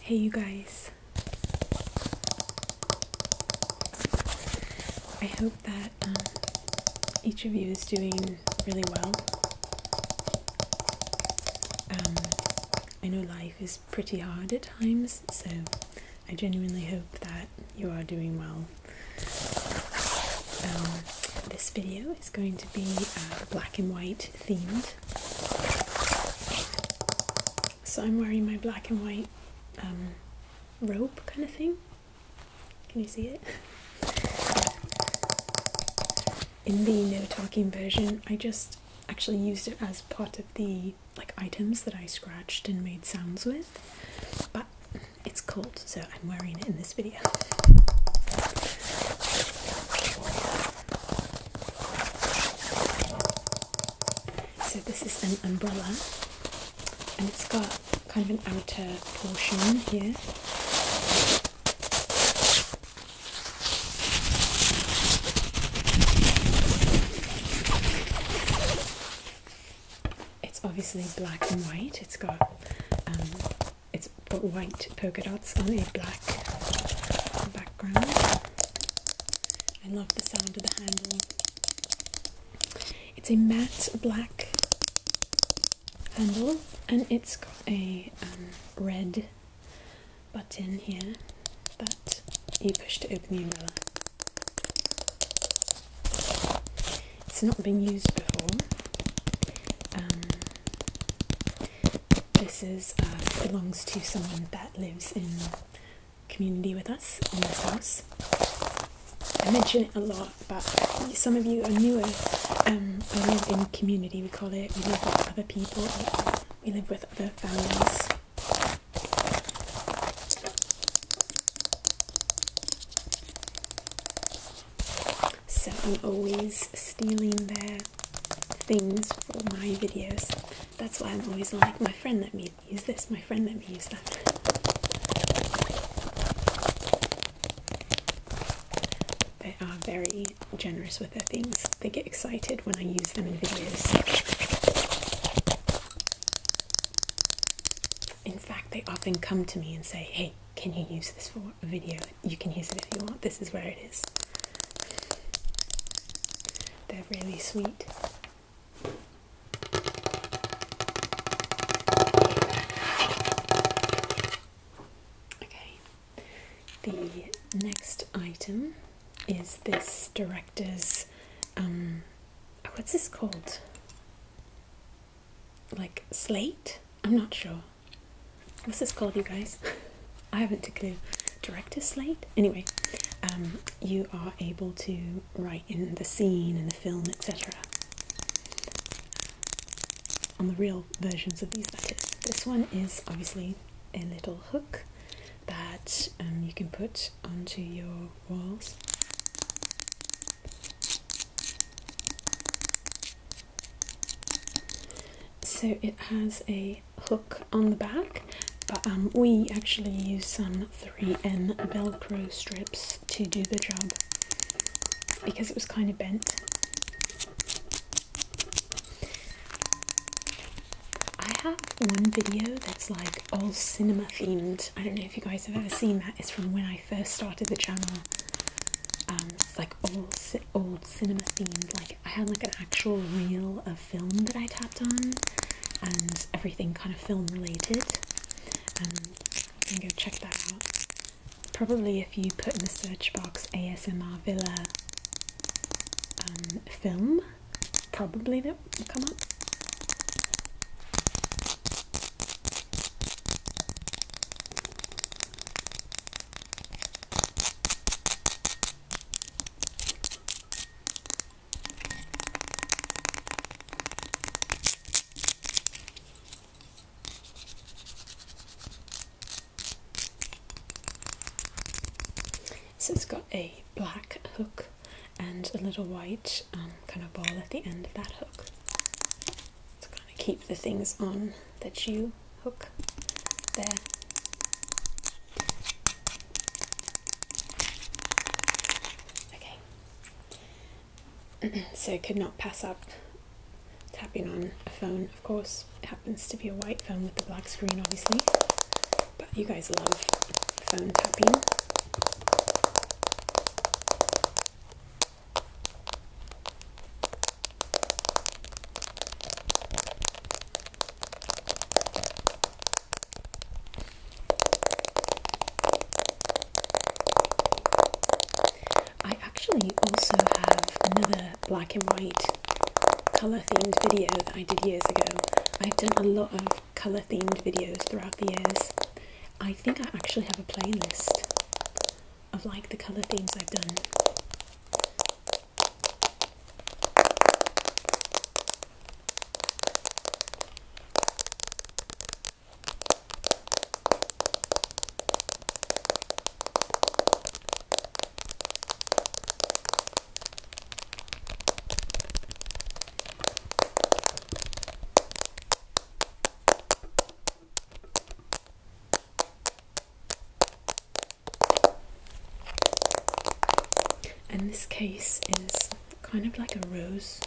Hey you guys. I hope that um, each of you is doing really well. Um, I know life is pretty hard at times, so I genuinely hope that you are doing well. Um, this video is going to be uh, black and white themed. So I'm wearing my black and white um, robe kind of thing. Can you see it? In the no talking version, I just actually used it as part of the like items that I scratched and made sounds with, but it's cold, so I'm wearing it in this video. So this is an umbrella, and it's got kind of an outer portion here. It's obviously black and white. It's got um, it's got white polka dots on a black background. I love the sound of the handle. It's a matte black handle, and it's got a um, red button here that you push to open the umbrella. It's not been used before. Um, this is uh, belongs to someone that lives in community with us in this house. I mention it a lot, but some of you are newer. Um, we live in community, we call it. We live with other people. We live with other families. So I'm always stealing their things for my videos. That's why I'm always like, my friend let me use this, my friend let me use that. They are very generous with their things. They get excited when I use them in videos. In fact, they often come to me and say, Hey, can you use this for a video? You can use it if you want. This is where it is. They're really sweet. Okay, the next item is this director's um, what's this called? Like slate? I'm not sure. What's this called, you guys? I haven't a clue. Director's slate? Anyway, um, you are able to write in the scene in the film, etc. On the real versions of these, letters, This one is obviously a little hook that um, you can put onto your walls. So it has a hook on the back, but um, we actually use some 3 m Velcro strips to do the job because it was kind of bent. I have one video that's like all cinema themed. I don't know if you guys have ever seen that. It's from when I first started the channel. Um, it's like all old cinema themed. Like I had like an actual reel of film that I tapped on, and everything kind of film related. And you can go check that out. Probably if you put in the search box ASMR Villa um, film, probably that come up so it's got a black hook and a little white um, kind of ball at the end of that hook to kind of keep the things on that you hook there. Okay, so I could not pass up tapping on a phone, of course. It happens to be a white phone with the black screen, obviously. But you guys love phone tapping. I actually also have another black and white colour themed video that I did years ago. I've done a lot of colour themed videos throughout the years. I think I actually have a playlist of like the colour themes I've done. And this case is kind of like a rose.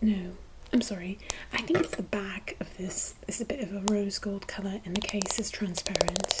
No, I'm sorry. I think it's the back of this. It's a bit of a rose gold colour, and the case is transparent.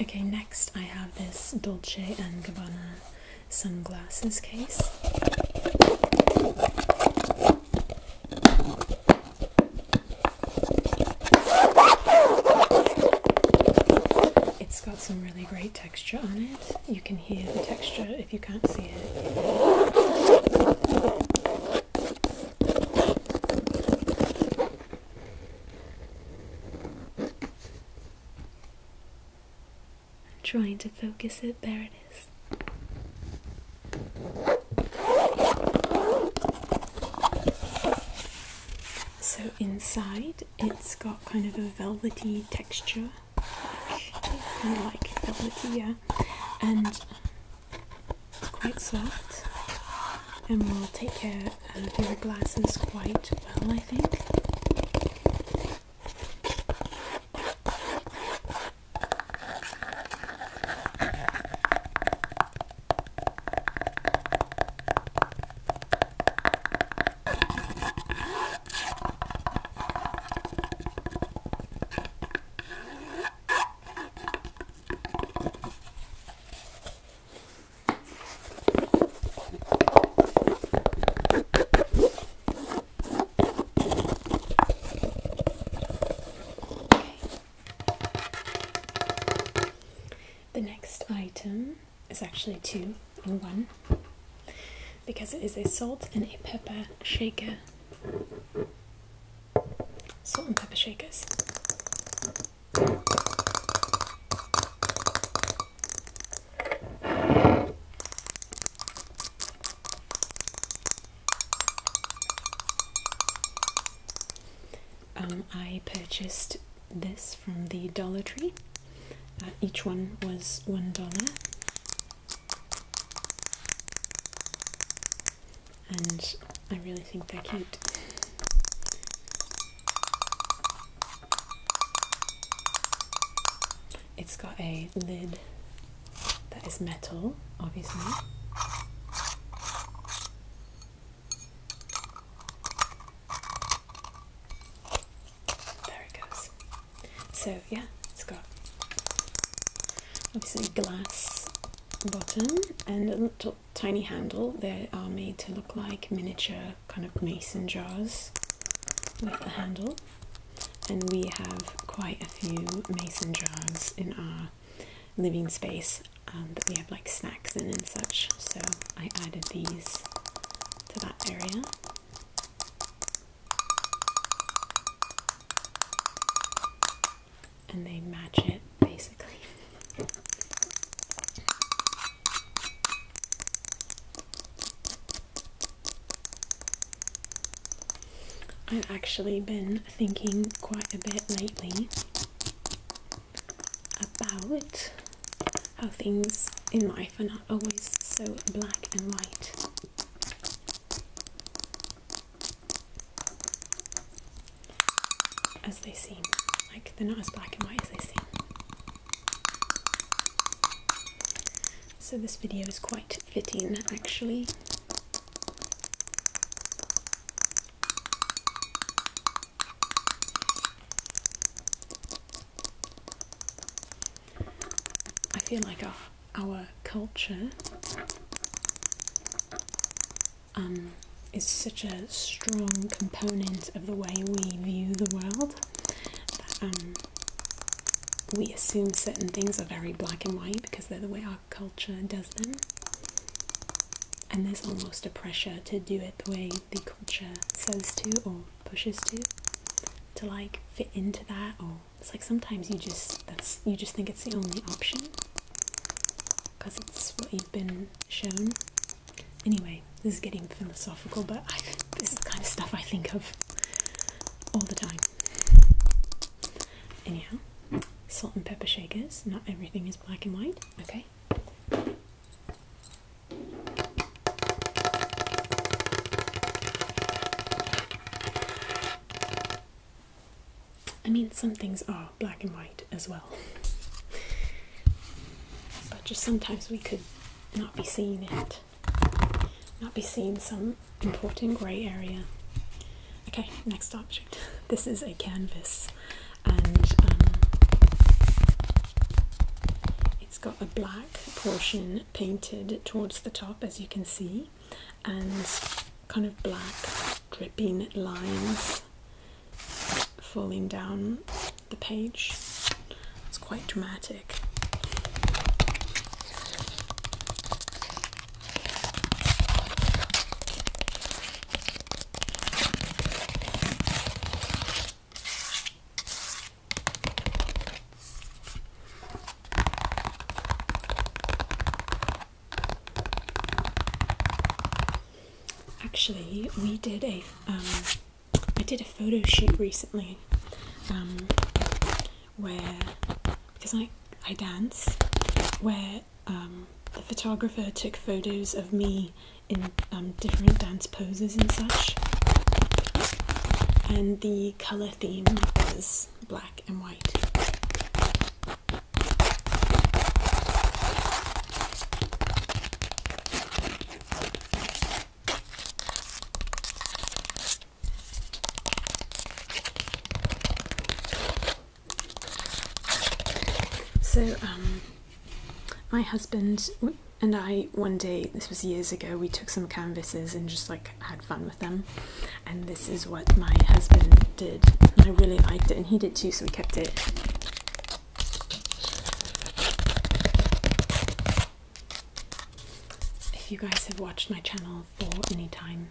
Okay, next I have this Dolce and Gabbana sunglasses case. It's got some really great texture on it. You can hear the texture if you can't see it. I'm trying to focus it, there it is. So inside it's got kind of a velvety texture, kind of like velvety, yeah, and it's quite soft and we will take care of your glasses quite well, I think. The next item is actually two in one because it is a salt and a pepper shaker. Salt and pepper shakers. Um, I purchased this from the Dollar Tree. Uh, each one was one dollar, and I really think they're cute. It's got a lid that is metal, obviously. There it goes. So, yeah, it's got obviously glass bottom and a little tiny handle. They are made to look like miniature kind of mason jars with the handle, and we have quite a few mason jars in our living space um, that we have like snacks in and such. So I added these to that area. And they match it basically. I've actually been thinking quite a bit lately about how things in life are not always so black and white. As they seem. Like they're not as black and white as they seem. So this video is quite fitting actually. I feel like our, our culture um, is such a strong component of the way we view the world. Um, we assume certain things are very black and white because they're the way our culture does them. And there's almost a pressure to do it the way the culture says to or pushes to, to like fit into that. Or it's like sometimes you just that's you just think it's the only option because it's what you've been shown. Anyway, this is getting philosophical, but this is the kind of stuff I think of all the time. Anyhow, salt and pepper shakers. Not everything is black and white, okay? I mean, some things are black and white as well, but just sometimes we could not be seeing it, not be seeing some important grey area. Okay, next object. This is a canvas and um, it's got a black portion painted towards the top as you can see and kind of black dripping lines falling down the page. It's quite dramatic. Actually, we did a um, I did a photo shoot recently um, where, because I, I dance, where um, the photographer took photos of me in um, different dance poses and such. And the colour theme was black and white. So, um, my husband and I, one day, this was years ago, we took some canvases and just like had fun with them. And this is what my husband did. I really liked it, and he did too, so we kept it. If you guys have watched my channel for any time,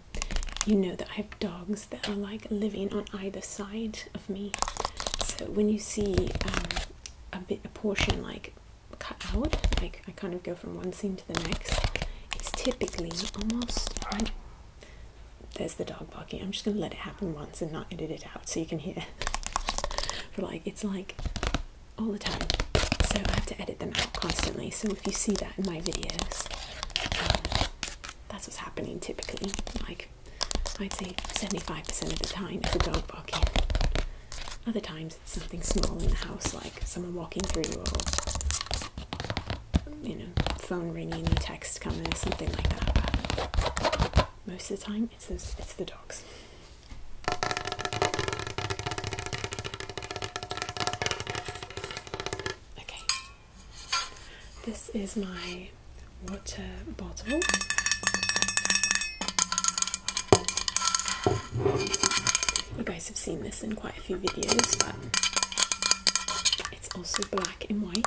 you know that I have dogs that are like living on either side of me. So when you see um, a bit a portion like cut out, like I kind of go from one scene to the next, it's typically almost there's the dog barking. I'm just gonna let it happen once and not edit it out so you can hear. but like it's like all the time, so I have to edit them out constantly. So if you see that in my videos, um, that's what's happening typically. Like I'd say 75% of the time it's a dog barking. Other times it's something small in the house, like someone walking through, or you know, phone ringing, or text coming, or something like that. most of the time, it's it's the dogs. Okay, this is my water bottle. You guys have seen this in quite a few videos, but it's also black and white.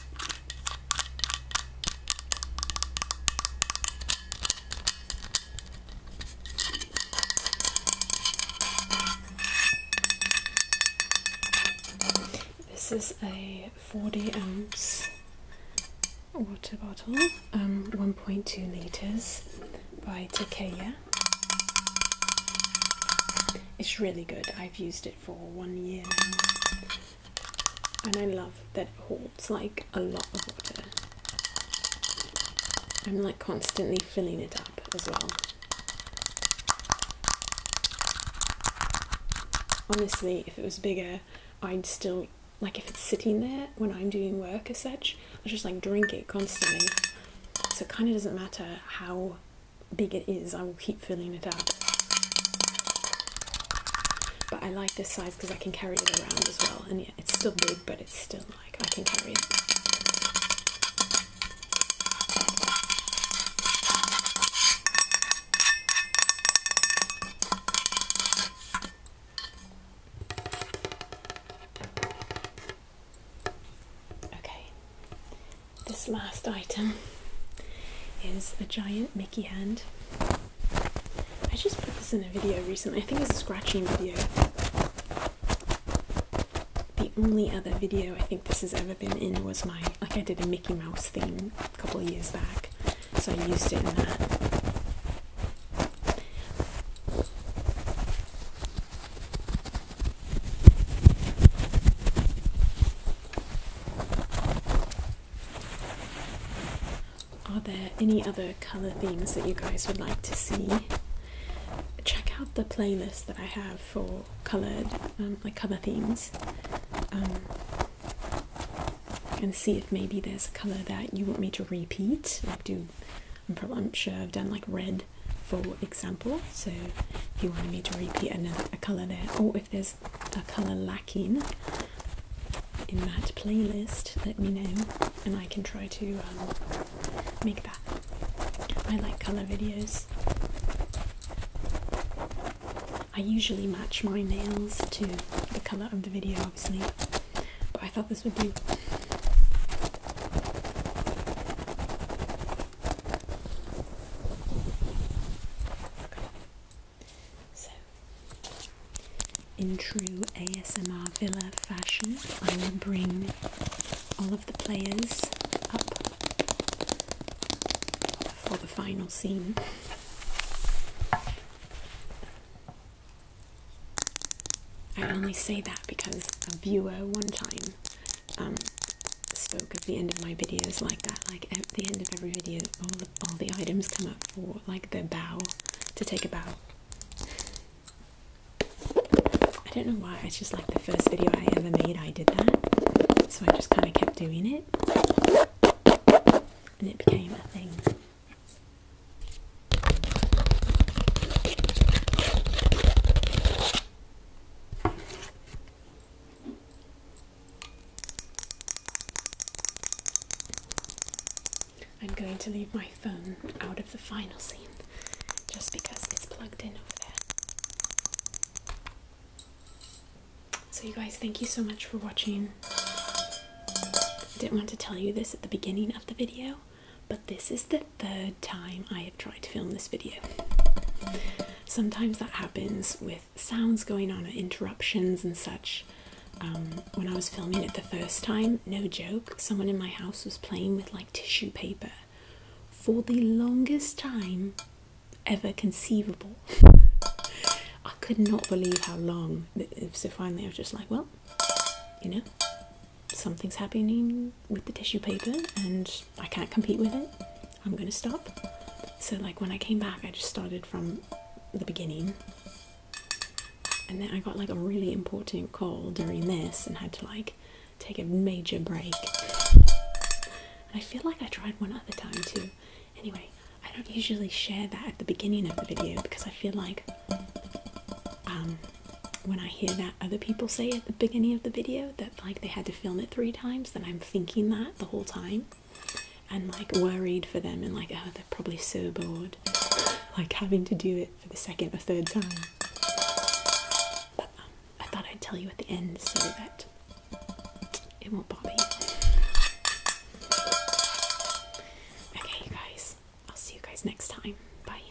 This is a 40 ounce water bottle, um, 1.2 litres by Takea. It's really good. I've used it for one year now. And I love that it holds like a lot of water. I'm like constantly filling it up as well. Honestly, if it was bigger, I'd still like if it's sitting there when I'm doing work as such, I just like drink it constantly. So it kind of doesn't matter how big it is, I will keep filling it up. But I like this size because I can carry it around as well. And yeah, it's still big, but it's still like I can carry it. Okay, this last item is a giant Mickey hand. I just put this in a video recently. I think it's a scratching video. The only other video I think this has ever been in was my like I did a Mickey Mouse theme a couple of years back. So I used it in that. Are there any other colour themes that you guys would like to see? Check out the playlist that I have for coloured, um, like colour themes, um, and see if maybe there's a colour that you want me to repeat. Like do, I'm, probably, sure I've done like red, for example. So if you wanted me to repeat another a colour there, or if there's a colour lacking in that playlist, let me know and I can try to um, make that. I like colour videos. I usually match my nails to the colour of the video, obviously, but I thought this would do. So, in true ASMR Villa fashion, I will bring all of the players up for the final scene. I only say that because a viewer one time um, spoke at the end of my videos like that. Like at the end of every video, all the, all the items come up for like the bow to take a bow. I don't know why. It's just like the first video I ever made. I did that, so I just kind of kept doing it, and it became a thing. I'm going to leave my phone out of the final scene just because it's plugged in over there. So, you guys, thank you so much for watching. I didn't want to tell you this at the beginning of the video, but this is the third time I have tried to film this video. Sometimes that happens with sounds going on, interruptions and such. Um, when I was filming it the first time, no joke, someone in my house was playing with like tissue paper for the longest time ever conceivable. I could not believe how long. So finally, I was just like, well, you know, something's happening with the tissue paper and I can't compete with it. I'm gonna stop. So, like, when I came back, I just started from the beginning, and then I got like a really important call during this and had to like take a major break. I feel like I tried one other time too. Anyway, I don't usually share that at the beginning of the video because I feel like um, when I hear that other people say at the beginning of the video that like they had to film it three times, then I'm thinking that the whole time and like worried for them and like oh they're probably so bored like having to do it for the second or third time but um, i thought i'd tell you at the end so that it won't bother you okay guys i'll see you guys next time bye